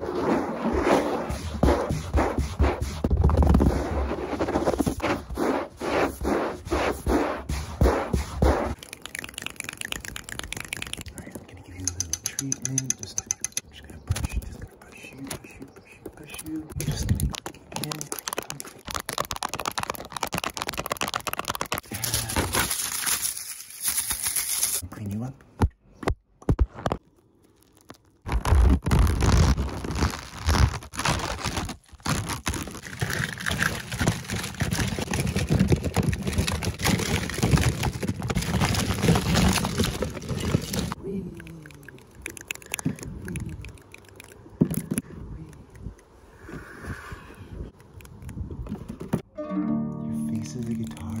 Alright, I'm gonna give you a little treatment. Just, I'm just gonna brush, just gonna brush you, brush you, brush you, brush you. I'm just gonna click again. Clean you up. Your face is a guitar?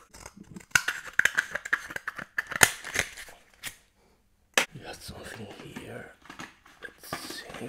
You got something here. Let's see.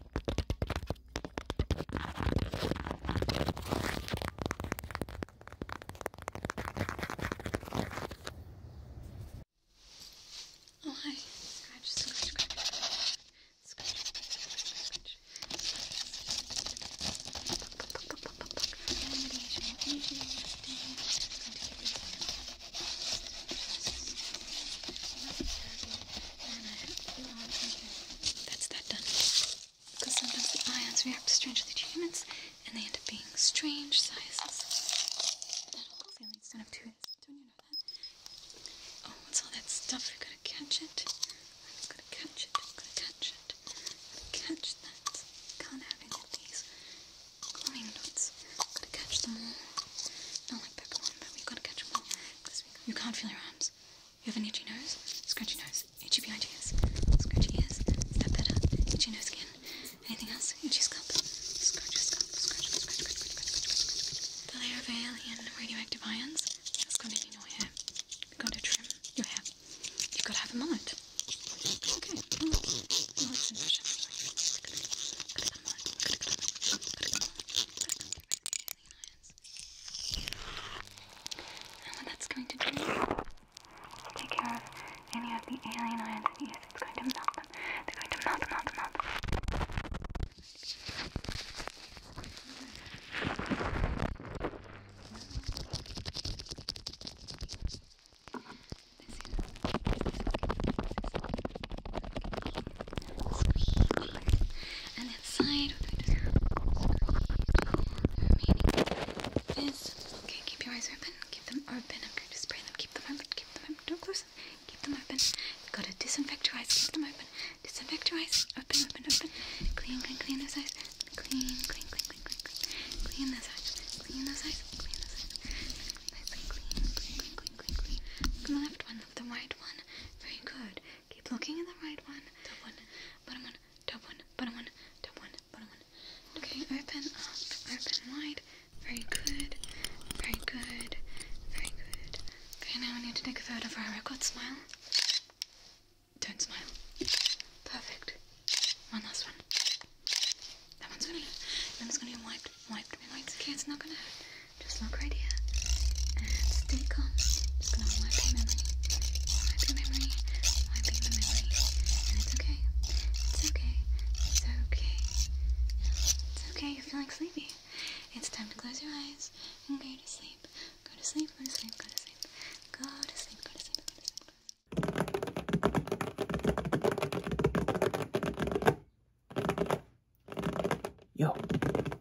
Oh hi. Scratch, scratch, scratch. Scratch, scratch, scratch. Animation, animation, animation. I'm going to get rid of that's that done. Because sometimes ions react strangely to humans and they end up being strange sizes. Don't know that? Oh, what's all that stuff? We're gonna catch it. I'm gonna catch it. I'm gonna catch it. gonna catch that. Can't have any of these glowing dots. gonna catch them all. Not like Pokemon, but we've got to catch them all. You can't feel your arms. You have an itchy nose, scratchy nose, itchy behind ears, scratchy ears. Is that better? Itchy nose again. Anything else? Itchy scalp. Scratch your scalp. Scratch, scratch, scratch, scratch, scratch, scratch, scratch. The layer of alien radioactive ions that's going to be in your hair. You've got to trim your hair. You've got to have a mullet. Okay, mullet. Mullet's in fashion. And what that's going to do is take care of any of the alien entities. It's going to melt them. They're going to melt, melt, melt. This is, this is, this is, this is, this is, this is, squeeze. And inside we're going to squeeze. Remaining is okay. Keep your eyes open. Keep them open. I'm going to spray them. Keep them open. Keep them open. Don't close them. Keep them open. You've got to disinfect your eyes. Keep them open. Disinfect your eyes. Open, open, open. Clean, clean, clean those eyes. Clean, clean, clean, clean, clean, clean. Clean those eyes. Clean those eyes. Clean those eyes. Clean, clean, clean, clean, clean, clean. Look on the left one the right one. Very good. Keep looking at the right one. Top one, bottom one, top one, bottom one, top one, bottom one. Okay, open up, open wide. Very good. Very good. Very good. Okay, now we need to take a photo for our record. Smile. Don't smile. Perfect. One last one. That one's gonna That one's gonna be wiped, wiped, wiped. Okay, it's not gonna hurt. Just look right here and stay calm. Just gonna wipe your memory, wipe your memory, wipe your memory, and it's okay. It's okay. It's okay. It's okay. You're feeling sleepy. It's time to close your eyes and go to sleep. Go to sleep. Go to sleep. Go to sleep. Go to sleep. Go to sleep. Go to sleep. Go to sleep. Yo,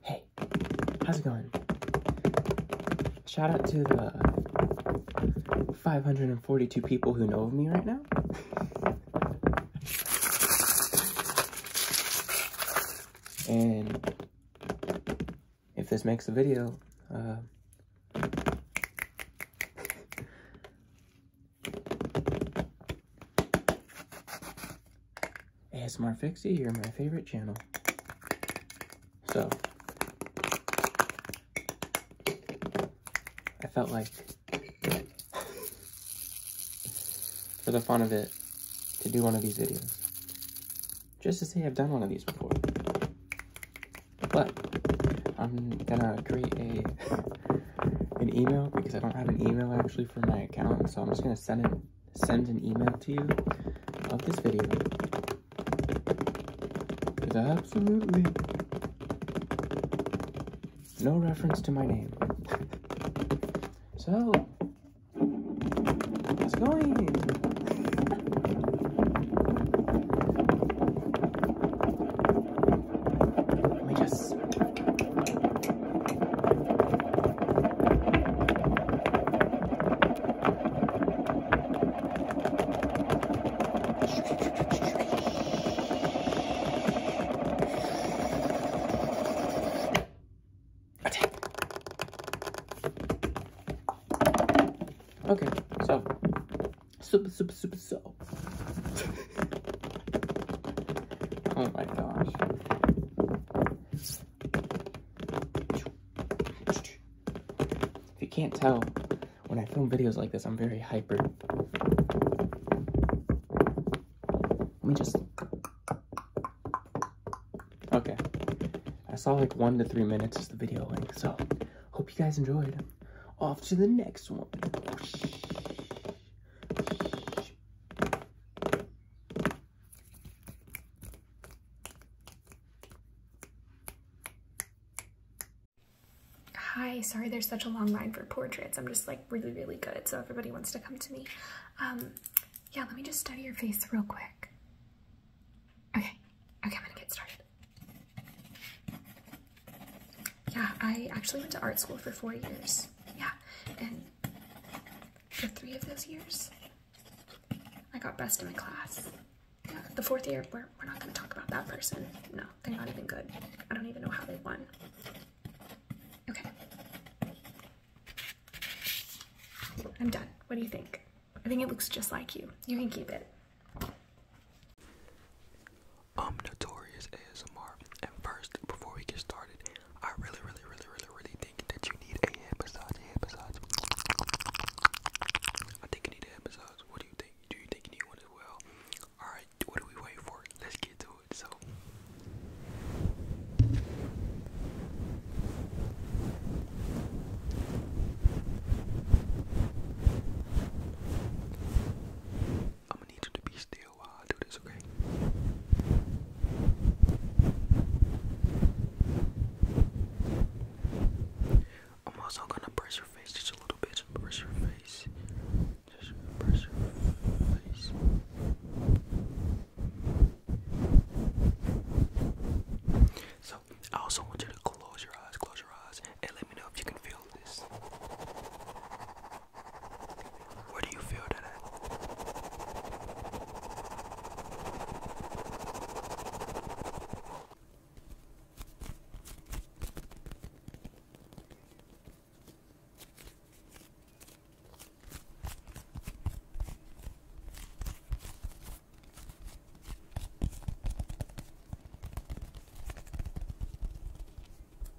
hey, how's it going? Shout out to the 542 people who know of me right now. and if this makes a video, uh, ASMR Fixie, you're my favorite channel. So, I felt like, for the fun of it, to do one of these videos. Just to say I've done one of these before. But, I'm gonna create a an email because I don't have an email actually for my account. So I'm just gonna send an, send an email to you of this video. absolutely no reference to my name. so how's it going? Let me just Okay, so super, super, super, so. oh my gosh. If you can't tell, when I film videos like this, I'm very hyper. Let me just... Okay. I saw like one to three minutes is the video length, so hope you guys enjoyed. Off to the next one. Hi, sorry there's such a long line for portraits. I'm just like really, really good, so everybody wants to come to me. Um, yeah, let me just study your face real quick. Okay, okay, I'm gonna get started. Yeah, I actually went to art school for four years. Yeah, and for three of those years. I got best in my class. the fourth year, we're, we're not going to talk about that person. No, they're not even good. I don't even know how they won. Okay. I'm done. What do you think? I think it looks just like you. You can keep it. I'm Notorious ASMR, and first, before we get started, I really, really, really, really, really think that you need a head I think you need a What do you think? Do you think you need one as well? Alright, what do we wait for? Let's get to it. So. I'm gonna need you to be still uh, I'm also gonna press your face just a little bit. Just your face. So, I also want you to close your eyes, close your eyes, and let me know if you can feel this. What do you feel today?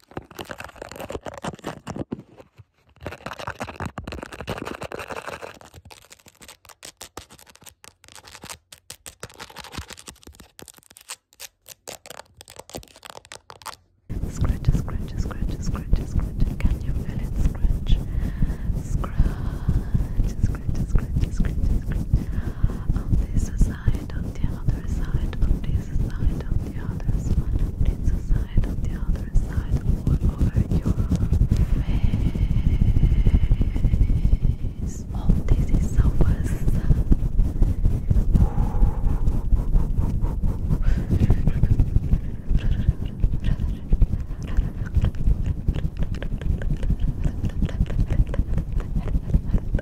Scratch, scratch, scratch, scratch, scratch. Can you feel it? Scratch, scratch, scratch, scratch, scratch, scratch. Um, this is side, on the other side, on this side, on the other side, on this side, on the other side, all over your face. Oh, this is so fast.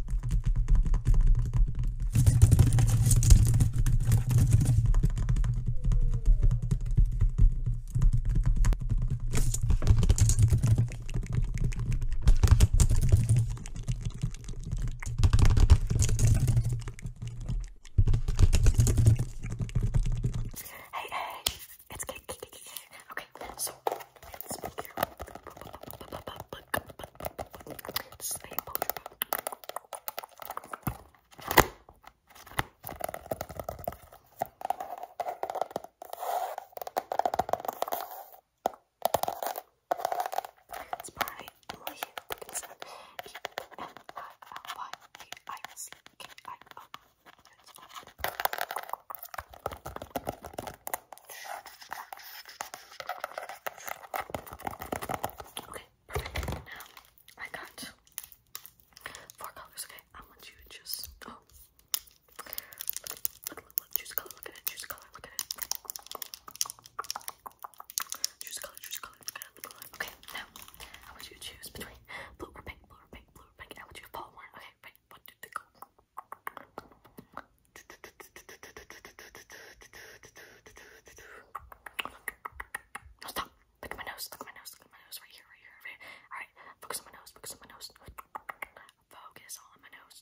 Hey, hey, it's cake, cake, cake, cake. Okay, so let's figure out It's by Emily Dickinson. Okay, perfect. Now I got four colors. Okay, I want you to just oh, look, look, look, look, choose a color. Look at it. Choose a color. Look at it. Choose a color. Choose a color. Look at it. Look at it. Okay, now I want you to choose between blue or pink, blue or pink, blue or pink. And I want you to fall one. Okay, right. One, two, three, go stop. Look at my nose. Look at my nose. Look at my nose. right here, right here. All right. Focus on my nose. Focus on my nose. Focus on my nose.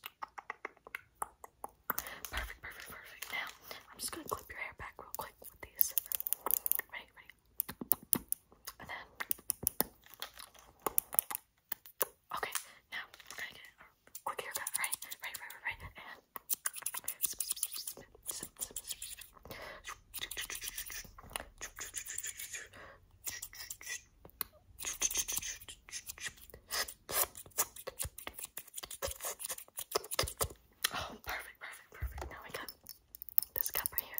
Perfect, perfect, perfect. Now, I'm just going to clip your hair back real quick with these. Ready, ready. And then Okay, now we're gonna get a quick haircut, right? Right, right, right, right. Oh, perfect, perfect, perfect. Now we got this cup right here.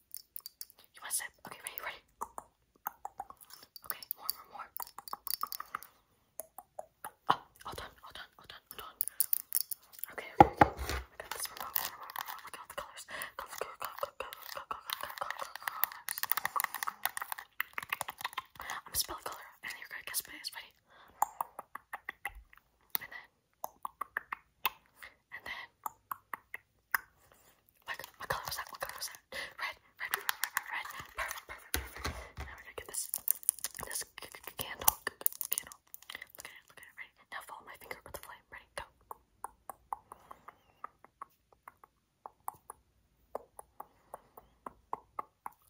You want to sip? Okay, ready, ready. Okay, more, more, more. all done, all done, all done, all done. Okay, okay, okay. I got this remote. I got the colors. Colors, colors, colors, colors, colors, colors. I'm gonna spell a color, and you're gonna guess what it is. Ready? And then, and then, what, what color was that? What color was that? Red, red, red, red, red, red. Perfect, Now we're gonna get this, this candle, candle. Look at it, look at it. Ready? Now follow my finger with the flame. Ready? Go.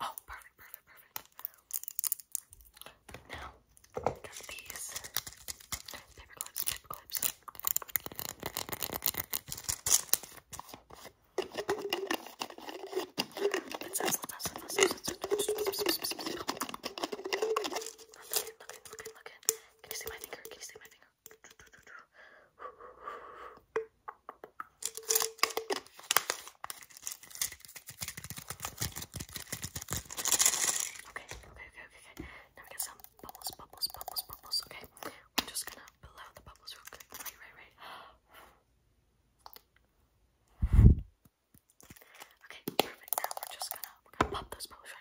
Oh, perfect, perfect, perfect. Now, got these paper clips, paper clips. Can you see my finger? Can you see my finger? Okay, okay, okay, okay, okay. Now we got some bubbles, bubbles, bubbles, bubbles, okay? we're just gonna blow out the bubbles real quick. Right, right, right. Okay, perfect. Now we're just gonna, pop those bubbles,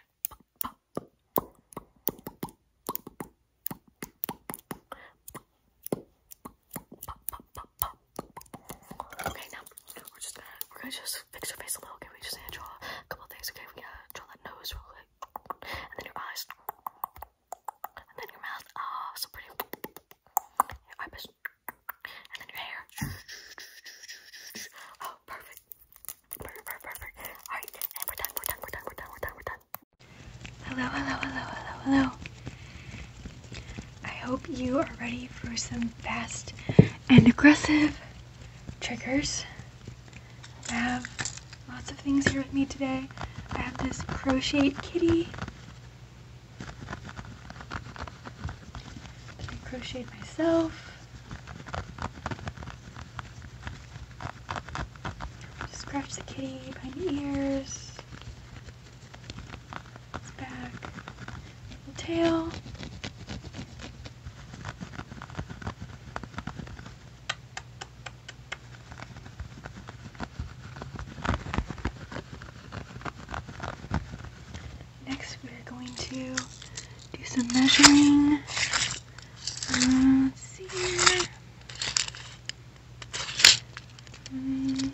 Okay, now we're just gonna, we're gonna just fix your face a little. Okay, we just need to draw a couple things. Okay, we got draw that nose real quick, and then your eyes, and then your mouth. oh, so pretty. Your eyebrows, and then your hair. Oh, Perfect, perfect, perfect. All right, and we're done. We're done. We're done. We're done. We're done. We're done. Hello, hello, hello, hello, hello. I hope you are ready for some fast and aggressive triggers. I have lots of things here with me today. I have this crocheted kitty. I crocheted myself. Just scratch the kitty behind the ears. Its back. Little tail. Next, we are going to do some measuring. let's see here. Mm.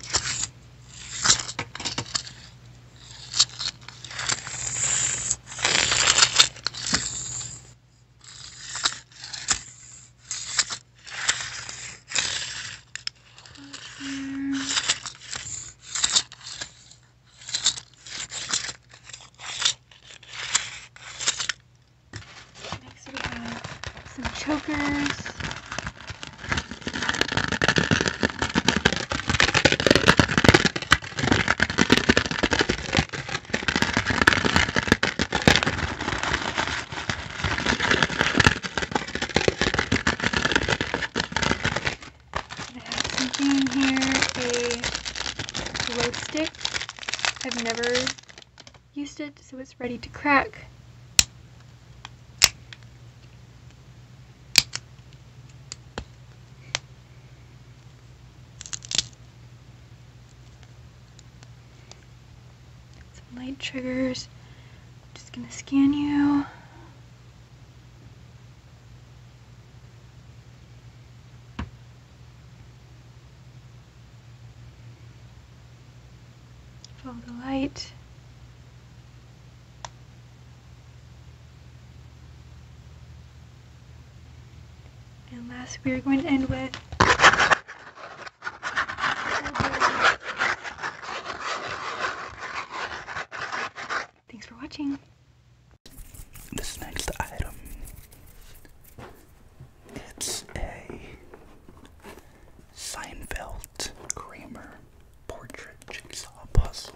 Next we have some chokers. I have something in here, a glow stick. I've never used it, so it's ready to crack. Some light triggers. I'm just gonna scan you. Follow the light. And last, we are going to end with Thanks for watching. This next item, it's a Seinfeld Kramer portrait jigsaw puzzle.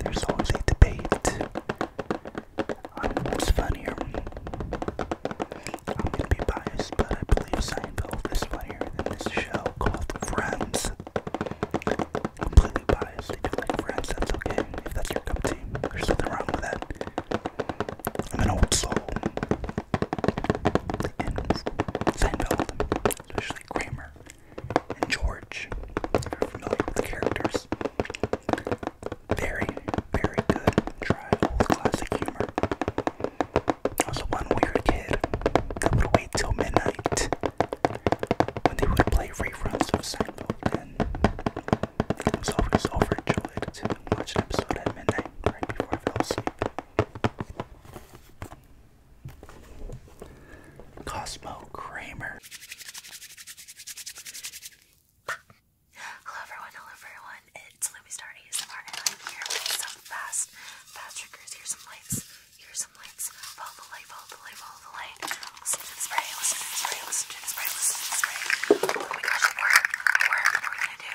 there's always a debate on what's funnier. I'm gonna be biased, but I believe Seinfeld is funnier than this show called Friends. Completely biased. If do like Friends, that's okay. If that's your cup of tea, there's nothing wrong with that. I'm an old soul. And Seinfeld, especially Kramer, and George, if you're familiar with the characters. Very, very good. Try old classic humor. was the one weird kid that would wait till midnight when they would play reruns of Seinfeld, and I was always overjoyed to watch an episode at midnight right before I fell asleep. Cosmo Kramer. Hello everyone, hello everyone. It's Lumistar ASMR and i here some fast, fast triggers. Here's some lights, here's some lights. Follow the light, follow the light, follow the light. Listen to the spray, listen to the spray, listen to the spray, listen to the spray. Oh my gosh, it worked, it worked. What we gonna do?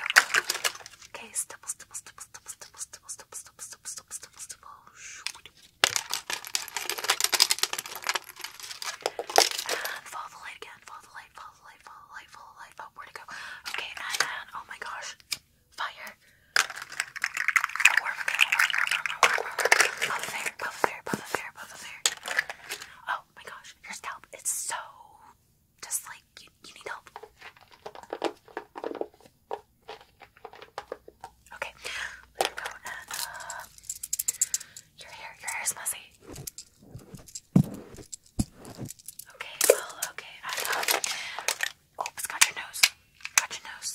Okay, stipple, stipple, stipple, stipple, stipple, stipple, stipple, stipple, stipple, stipple, stipple, stipple, stipple follow the light again. Follow the light. Follow the light. Follow the light. Follow the light. Oh, where to go? Okay, and oh my gosh, fire! Oh, we're okay. Puff of air. Puff of air. Puff of Oh my gosh, your scalp. It's so just like you. You need help. Okay, let me go uh, your hair, your hair is messy. Okay, well, okay, I um, uh, it's got your nose, got your nose,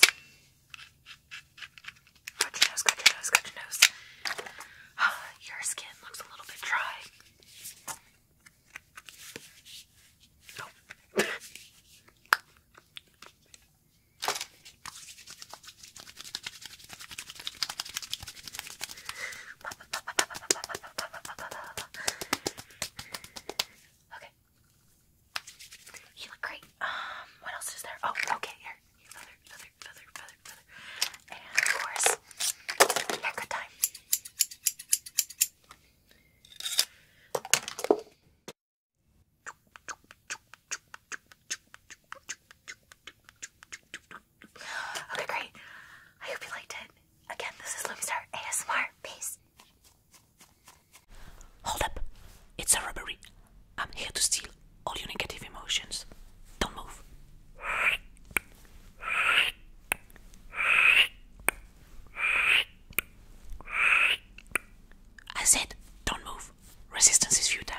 got your nose, got your nose, got your nose. Ah, your skin looks a little bit dry. Oh. Okay. You look great. Um, what else is there? Oh, okay, here. Your feather, feather, feather, feather, feather. And of course, haircut time. Okay, great. I hope you liked it. Again, this is Loomstar ASMR. Peace. Hold up. It's a robbery. I'm here to steal all your negative emotions. Don't move. I said, don't move. Resistance is futile.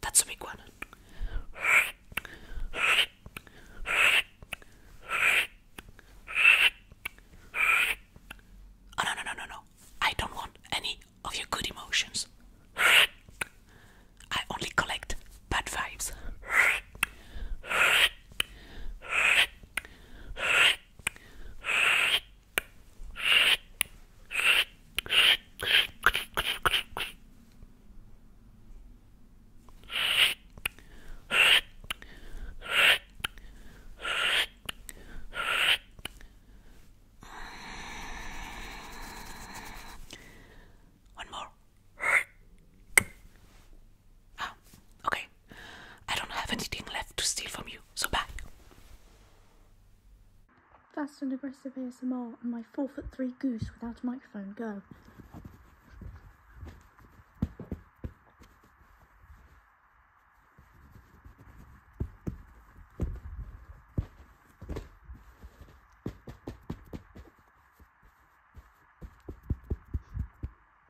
That's a big one. Oh, no, no, no, no, no. I don't want any of your good emotions. I only collect bad vibes. One more. Ah, okay. I don't have anything left to steal from you, so bye. Fast and aggressive ASMR and my four foot three goose without a microphone go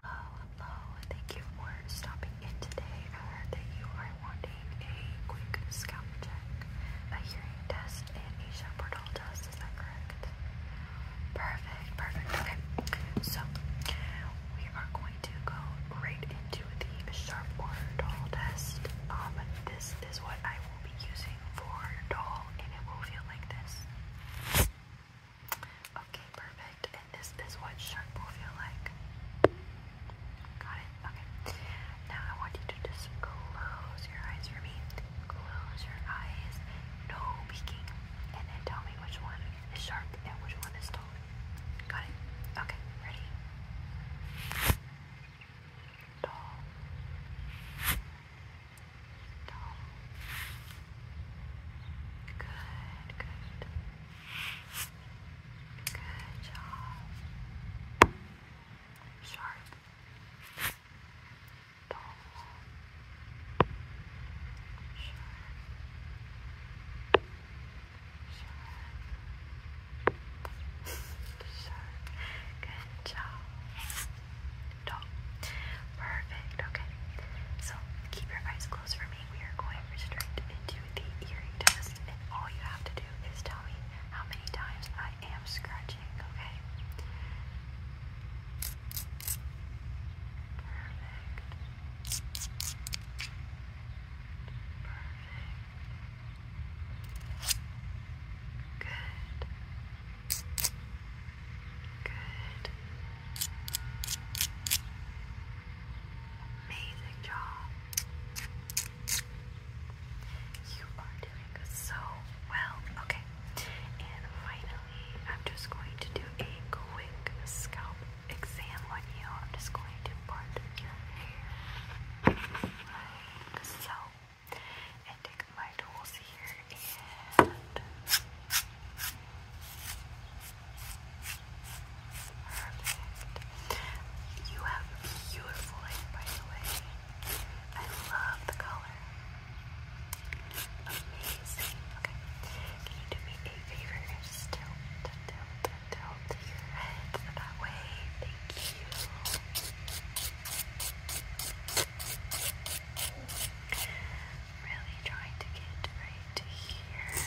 hello. Thank you for stopping in today. I heard that you are wanting a quick scalp check, a hearing test, a Shepardall test. Is that correct? Perfect, perfect. Okay, so we are going to go right into the Sharp test. Um, this is what I will be using for your and it will feel like this. Okay, perfect. And this is what sharp will feel like. Got it? Okay. Now I want you to just close your eyes for me. Close your eyes. No peeking. And then tell me which one is sharp and which one is dull. Got it? Okay, ready? tall, tall. Good, good. Good job. Sharp. Tall. Sharp. Sharp. Good job. Top. Perfect. Okay. So keep your eyes closed for me. We are going straight into the earring test, and all you have to do is tell me how many times I am scratching. Okay. Perfect. Perfect. Good. Good. Amazing job. You are doing so well. Okay. And finally, I'm just going to do a quick scalp exam on you. i to part your hair so and take my tools here and You have beautiful hair, by the way. I love the color. Amazing. Okay. Can you do me a favor and just tilt, tilt, tilt, tilt your head that way? Really trying to get right to here.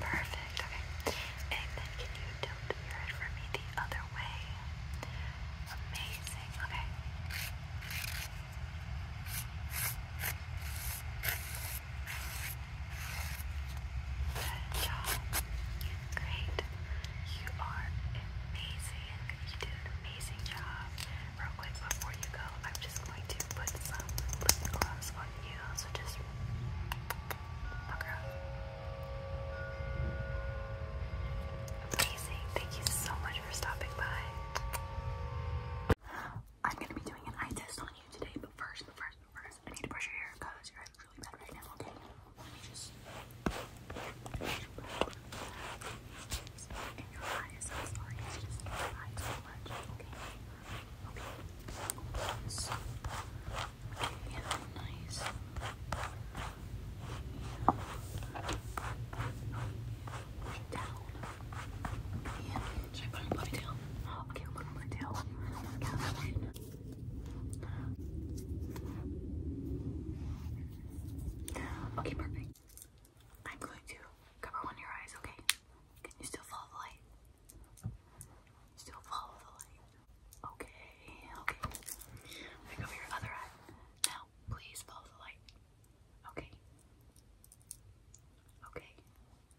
Perfect, okay. And then can you tilt your head for me the other way? Amazing, okay. Good job. Great. You are amazing. You did an amazing job. Real quick before you go, I'm just going to put some lip gloss on you. So just look Amazing. Thank you so much for stopping by. I'm gonna be doing an eye test on you today, but first, but first, First, I need to brush your hair because your hair's really bad right now, okay? Let me just... And your eyes, I'm sorry, it's just eyes so much, okay? Okay, so... Okay, nice. Down. Yeah. Should I Okay, I'll put Okay, perfect. I'm going to cover one of your eyes, okay? Can you still follow the light? Still follow the light. Okay, okay. I cover your other eye. Now, please follow the light. Okay. Okay.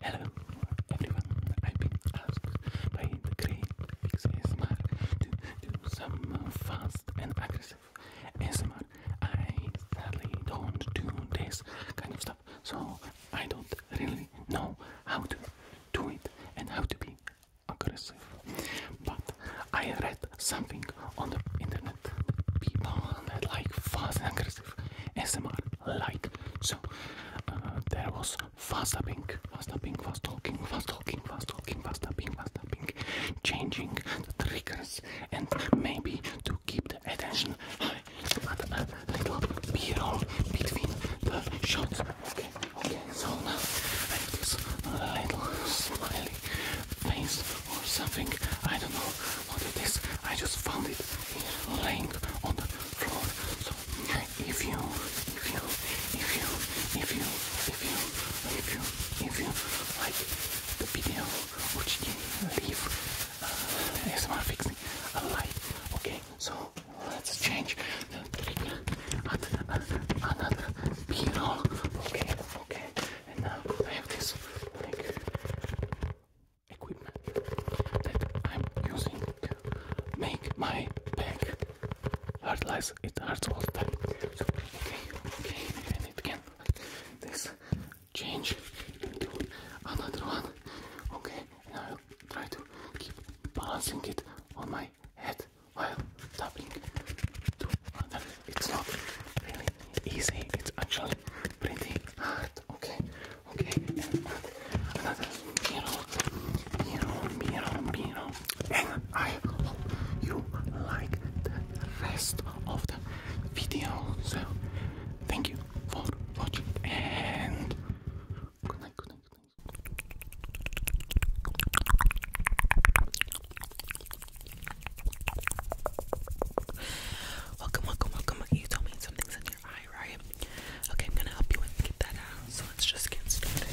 Hello everyone, I've been asked by the great Pixie Smart to do some fast and aggressive ASMR. I sadly don't do this kind of stuff, so I don't really know how to do it and how to be aggressive. But I read something on the internet. People like fast and aggressive ASMR like. So uh, there was fast tapping, fast tapping, fast talking, fast talking, fast talking, fast tapping, fast tapping, changing the triggers and maybe to keep the attention high, but a uh, little b-roll between the shots. Okay. Okay, so now I have this little smiley face or something. I don't know what it is. I just found it here laying on the floor. So if you, if you, if you, if you, if you, if you, if you like the video, would you leave uh, ASMR fixing a like? Okay, so let's change the trigger another b Okay. Okay, and now I have this equipment that I'm using to make my bag hard lies, it hurts all the time. So, okay, okay, and it can this change into another one. Okay, and I'll try to keep balancing it on my head while tapping to It's not really easy, it's actually pretty hard. Okay, okay, another mirror, mirror, mirror, mirror. And I hope you like the rest of the video. So, thank you for watching and good night, good night, good night. Welcome, welcome, welcome. You told me something's in your eye, right? Okay, I'm gonna help you get that out. So let's just get started.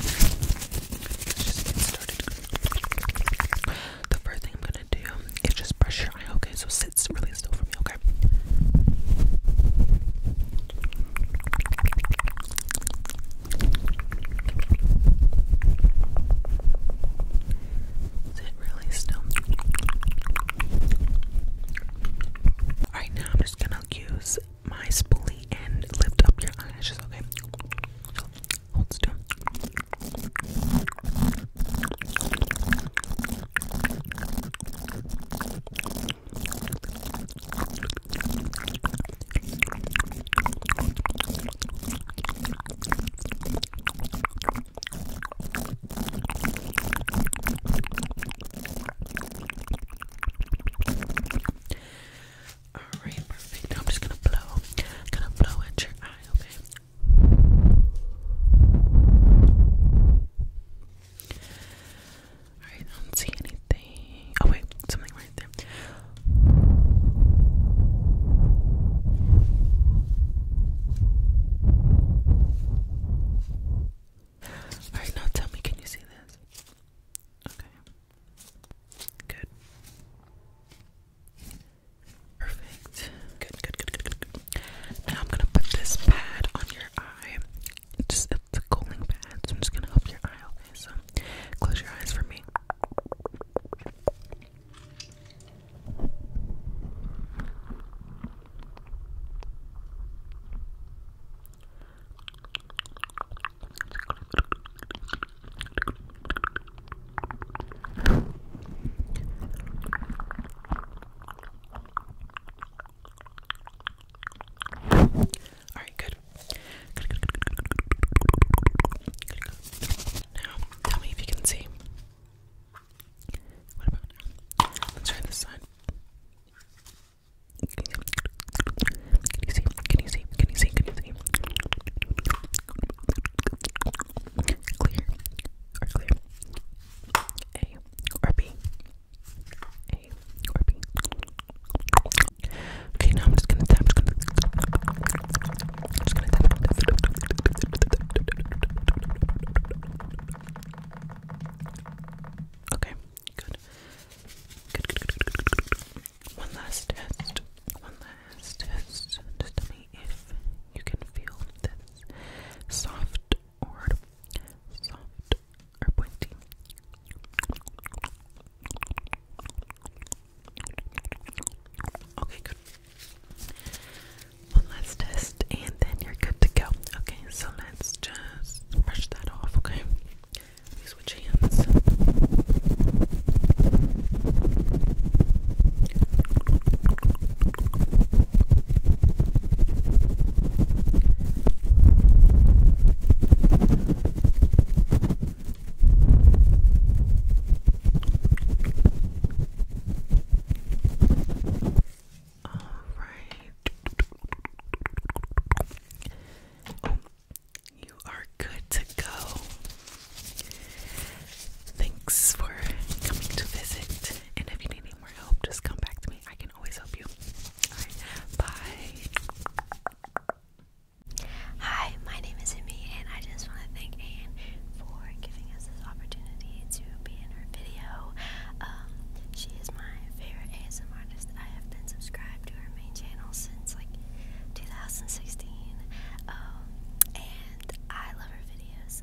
Let's just get started. The first thing I'm gonna do is just brush your eye, okay? So sit really still for me, okay? Is now I'm just gonna use my spoolie and lift up your eyelashes, okay? hold still. All right, perfect. Now I'm just gonna blow, gonna blow at your eye, okay? All right, I don't see anything. I oh wait, something right there. Alright, now tell me, can you see this? Okay. Good. Perfect. Good, good, good, good, good, good. Now I'm gonna put this pad on your eye. just it's a cooling pad, so i gonna help your eye close your eyes for me. All right, good. Now, tell me if you can see. What about Let's try this side. Can you see? Can you see? Can you see? Can you see? Clear or clear? A or B? A or B? Okay, now I'm just gonna tap. to Okay, good. Good, good, good, good, One last test. One last test. Just tell me if you can feel this soft or soft or pointy. Okay, good. One last test, and then you're good to go. Okay, so let's just brush that off, okay? We switch hands. All right. you are good to go. Thanks for coming to visit. And if you need any more help, just come back to me. I can always help you. All right. Bye. Hi, my name is Amy, and I just want to thank Anne for giving us this opportunity to be in her video. Um, she is my favorite ASM artist. I have been subscribed to her main channel since like 2016, um, and I love her videos.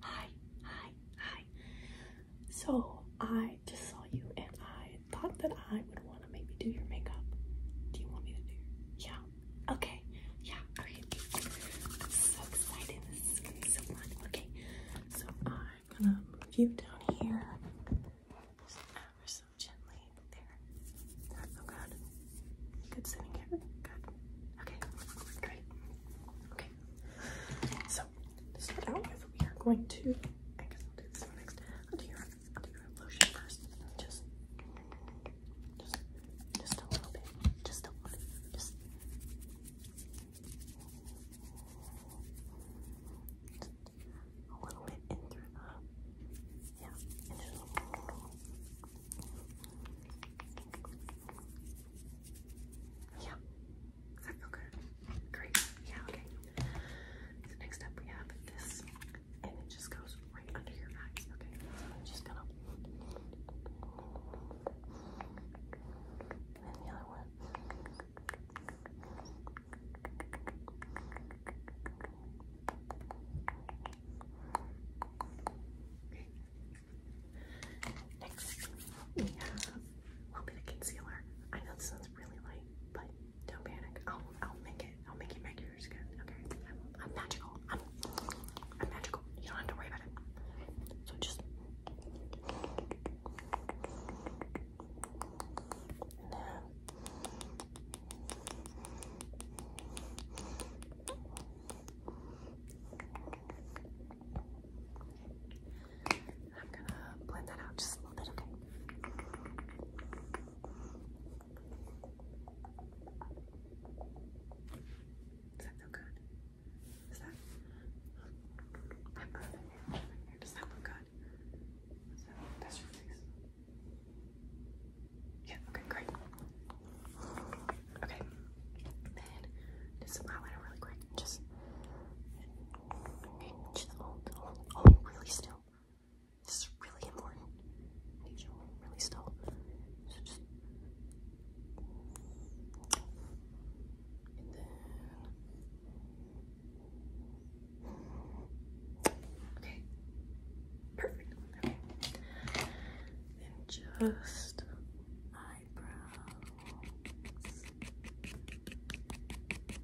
hi, hi, hi. So I just saw you and I thought that I would want to maybe do your makeup. Do you want me to do your Yeah. Okay. Yeah. Alright. so excited. This is gonna be so fun. Okay. So I'm gonna view down here. Just ever so gently. There. Oh god. Good sitting here. Good. Okay. Great. Okay. So to start out we are going to. I guess I'll do this next. I'll do your, lotion first. Just, just, a little bit. Just a little. Just. a little bit in through yeah, yeah. Does that feel Great. Yeah, okay. So next up we have this and it just goes right under your eyes. Okay. I'm just gonna and the other one. Next, we have a little bit of concealer. I know this sounds really light, but don't panic. I'll I'll make it. I'll make it make yours good. Okay, I'm, magical. I'm I'm magical. You don't have to worry about it. So just I'm gonna blend that out just a little bit, okay? Does that feel good? Is that? Does that look good? That, that's your yeah, okay, great. Okay, then do some eyeliner really quick. Just, really still. This is really important. really still. So just, Okay. Perfect. Okay and just eyebrows. I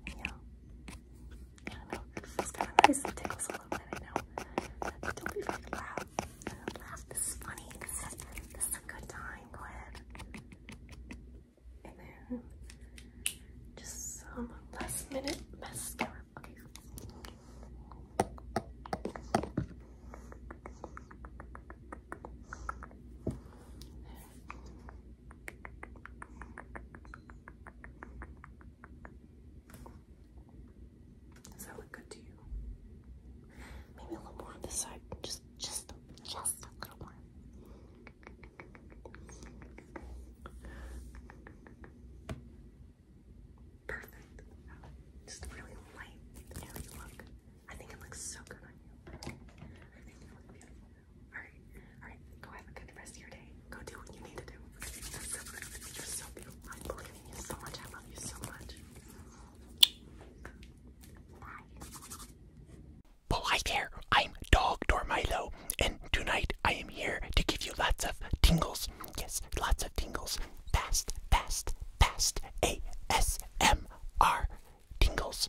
don't know. It feels kind of nice. It tickles a little bit, I know. don't be afraid to This is funny. this is a good time. Go ahead. And then just some last minute mascara. Okay. Does that look good to you? Maybe a little more on this side. Just, just, just a little more. Perfect. Just really light the look. I think it looks so good on you. I think you look beautiful. Alright, alright. Go have a good rest of your day. Go do what you need to do. You're so beautiful. I believe you so much. I love you so much. hi there. I'm Dog Dormilo, and tonight I am here to give you lots of tingles. Yes, lots of tingles fast, fast, fast ASMR tingles.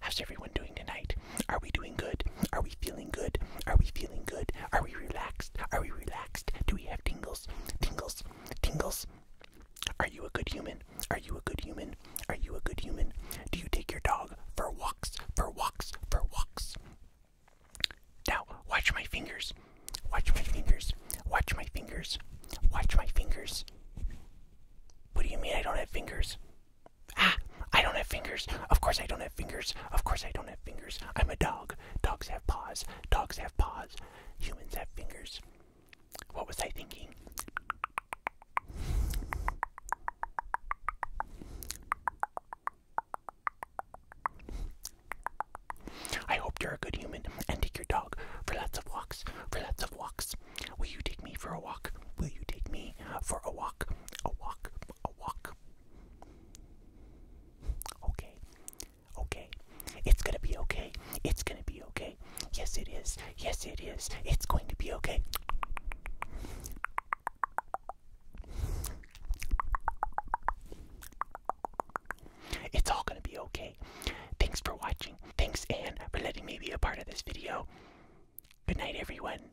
How's everyone doing tonight? Are we doing good? Are we feeling good? Are we feeling good? Are we relaxed? Are we relaxed? Do we have tingles? Tingles? Tingles? Are you a good human? Are you a good human? Are you a good human? Do you take your dog for walks? For walks? For walks? Now, watch my fingers. Watch my fingers. Watch my fingers. Watch my fingers. What do you mean I don't have fingers? Ah, I don't have fingers. Of course I don't have fingers. Of course I don't have fingers. I'm a dog. Dogs have paws. Dogs have paws. Humans have fingers. What was I thinking? I hope you're a good human and take your dog for lots of walks. For lots of walks. Will you take me for a walk? Will you take me for a walk? A walk. A walk. Okay. Okay. It's gonna be okay. It's gonna be okay. Yes, it is. Yes, it is. It's going to be okay. It's all gonna be okay. Thanks for watching. Thanks, Anne, for letting me be a part of this video. Good night, everyone.